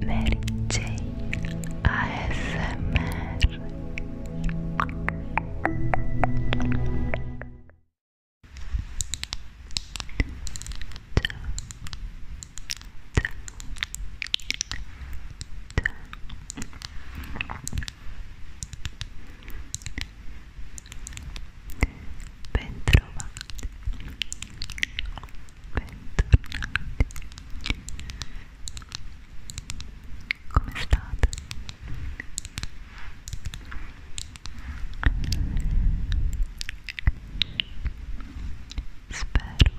Mary J ASMR Bentrovati bentornati come state? spero tutto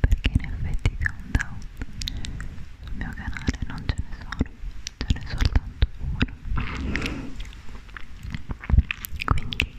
perché in effetti countdown sul mio canale non ce ne sono ce n'è soltanto uno quindi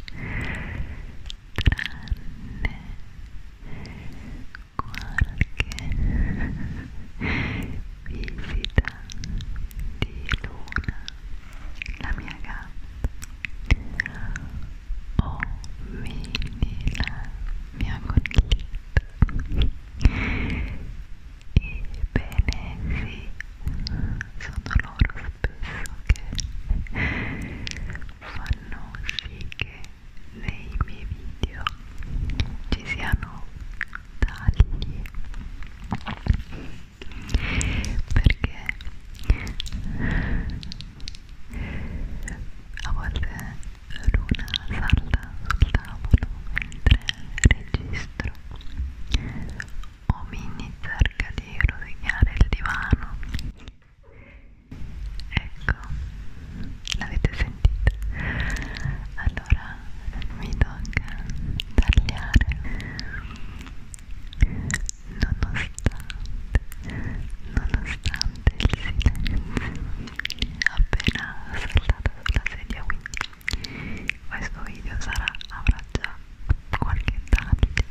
tranne qualche visita di luna la mia gatta o vini la mia colletta Ebbene sì, sono loro penso che fanno sì che nei miei video ci siano tagli perché a volte Luna salta sul tavolo mentre registro Omini cerca di rovinare il divano ecco l'avete sentito allora mi tocca tagliare nonostante nonostante il silenzio appena saltata sulla sedia quindi questo video sarà avrà già qualche taglio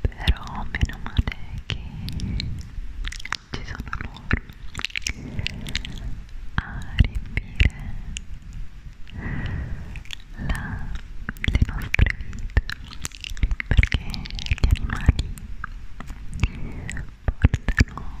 però meno male che ci sono loro a riempire la, le nostre vite perché gli animali portano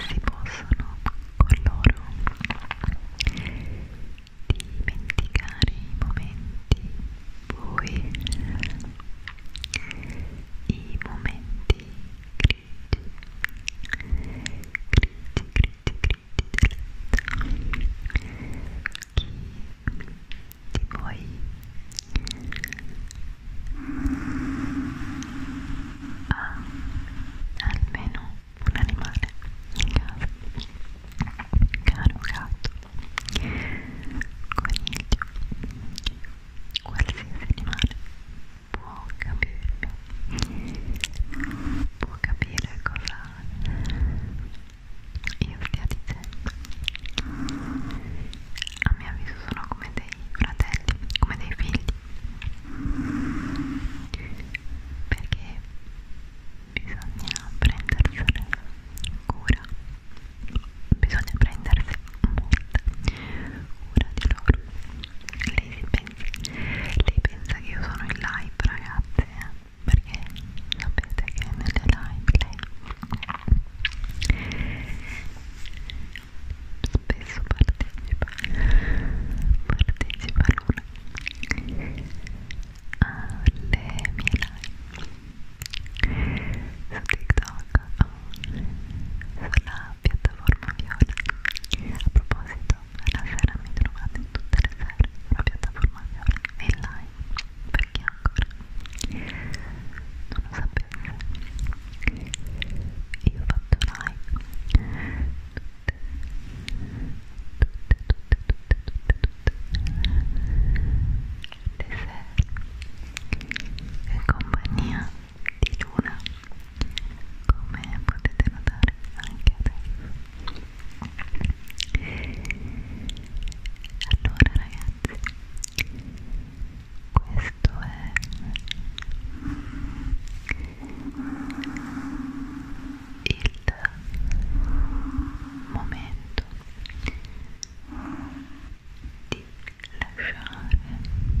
si possono con loro dimenticare i momenti bui, i momenti grigi, grigi, grigi, grigi della vita. Chi di voi ha ah, almeno un animale in casa caro gatto coniglio qualsiasi animale può capirmi può capire cosa io stia dicendo a mio avviso sono come dei fratelli, come dei figli perché bisogna prendersene cura bisogna prendersi molta cura di loro lei si pensa lei pensa che io sono in live ragazze eh? perché sapete che nelle live lei spesso partecipa partecipa lui alle mie live su TikTok o sulla piattaforma Viola a proposito la sera mi trovate tutte le sere sulla piattaforma Viola in live perché ancora non lo sapete io ho fatto live tutte, tutte, tutte, tutte, tutte, tutte le sere in compagnia di Luna come potete notare anche adesso allora ragazzi questo è il momento di lasciare andare tutti, tutti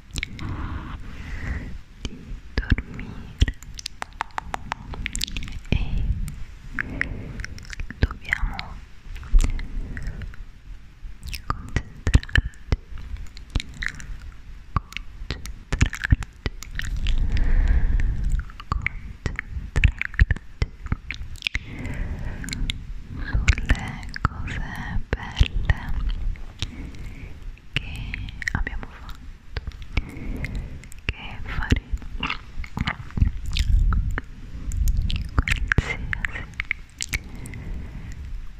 di dormire e dobbiamo concentrarci concentrarci concentrarti sulle cose belle che abbiamo fatto che faremo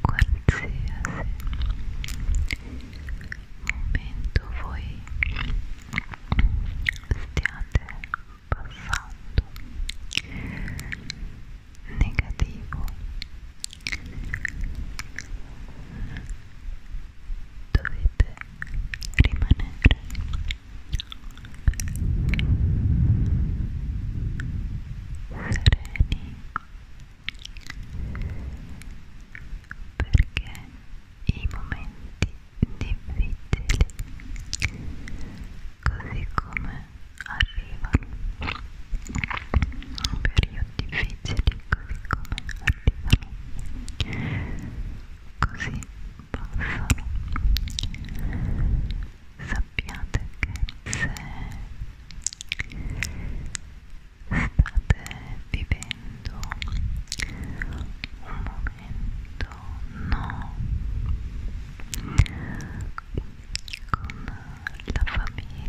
qualsiasi qualsiasi momento voi stiate passando negativo dovete rimanere sereni perché i momenti difficili così come arrivano periodi difficili arrivano così passano sappiate che se state vivendo un momento no con la famiglia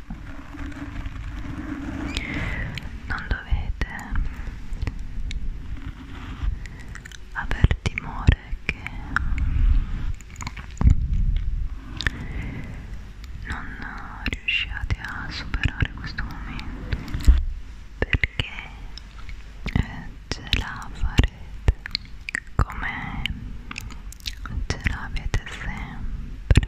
non dovete aver timore che non riusciate a superare questo momento perché eh, ce la farete come ce l'avete sempre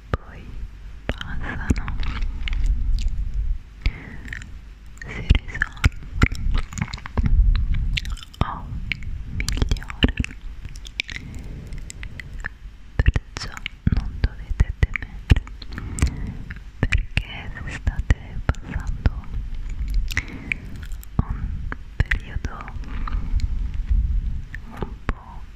poi passano si risolvono o migliorano perciò non dovete temere perché se state passando un periodo un po'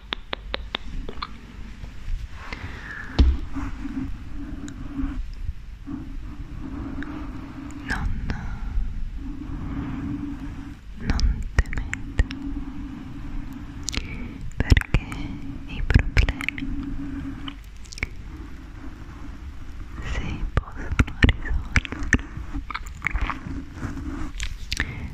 non, non temete perché i problemi si possono risolvere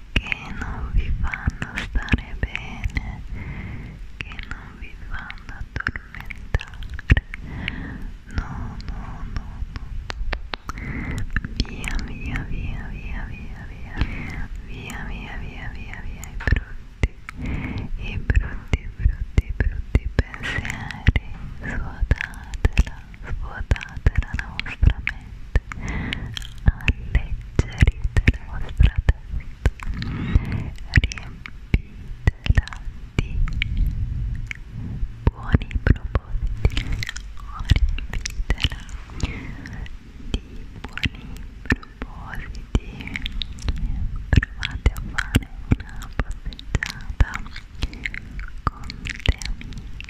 che non vi fanno stare bene, che non vi fanno addormentare. No, no, no, no. Via, via, via, via, via, via. Via, via, via, via, via. I brutti, i brutti, brutti, brutti pensieri. Suotatela, svuotate la nostra mente, alleggerite la vostra testa, riempitela di buoni propositi, riempitela di buoni propositi, provate a fare una passeggiata con le amiche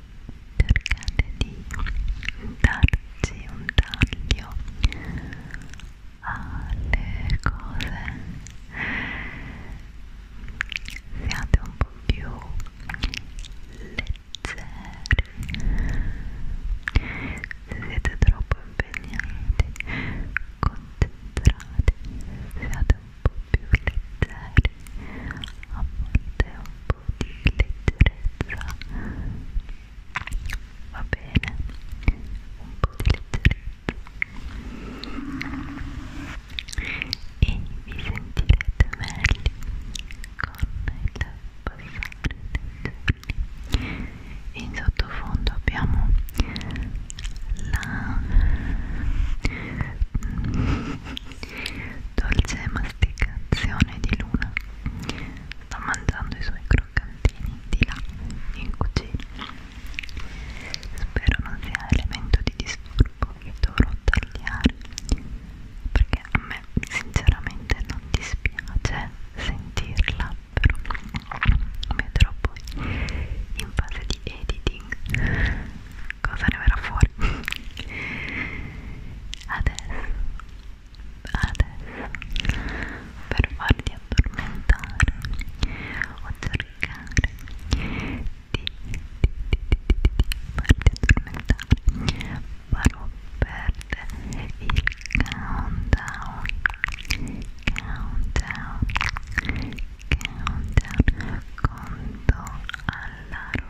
cercate di darci un taglio alle cose siate un po' più leggeri se siete troppo impegnati concentrati siate un po' più leggeri a volte un leggerezza va bene un po' di leggerezza e vi sentirete meglio con il passare dei giorni in sottofondo abbiamo la dolce masticazione di luna sta mangiando i suoi croccantini di là in cucina spero non sia elemento di disturbo che dovrò tagliare perché a me sinceramente non dispiace sentirla però vedrò poi in fase di editing cosa ne verrà fuori adesso adesso per farti addormentare o cercare di, di, di, di, di farti addormentare farò perdere il countdown countdown countdown conto alla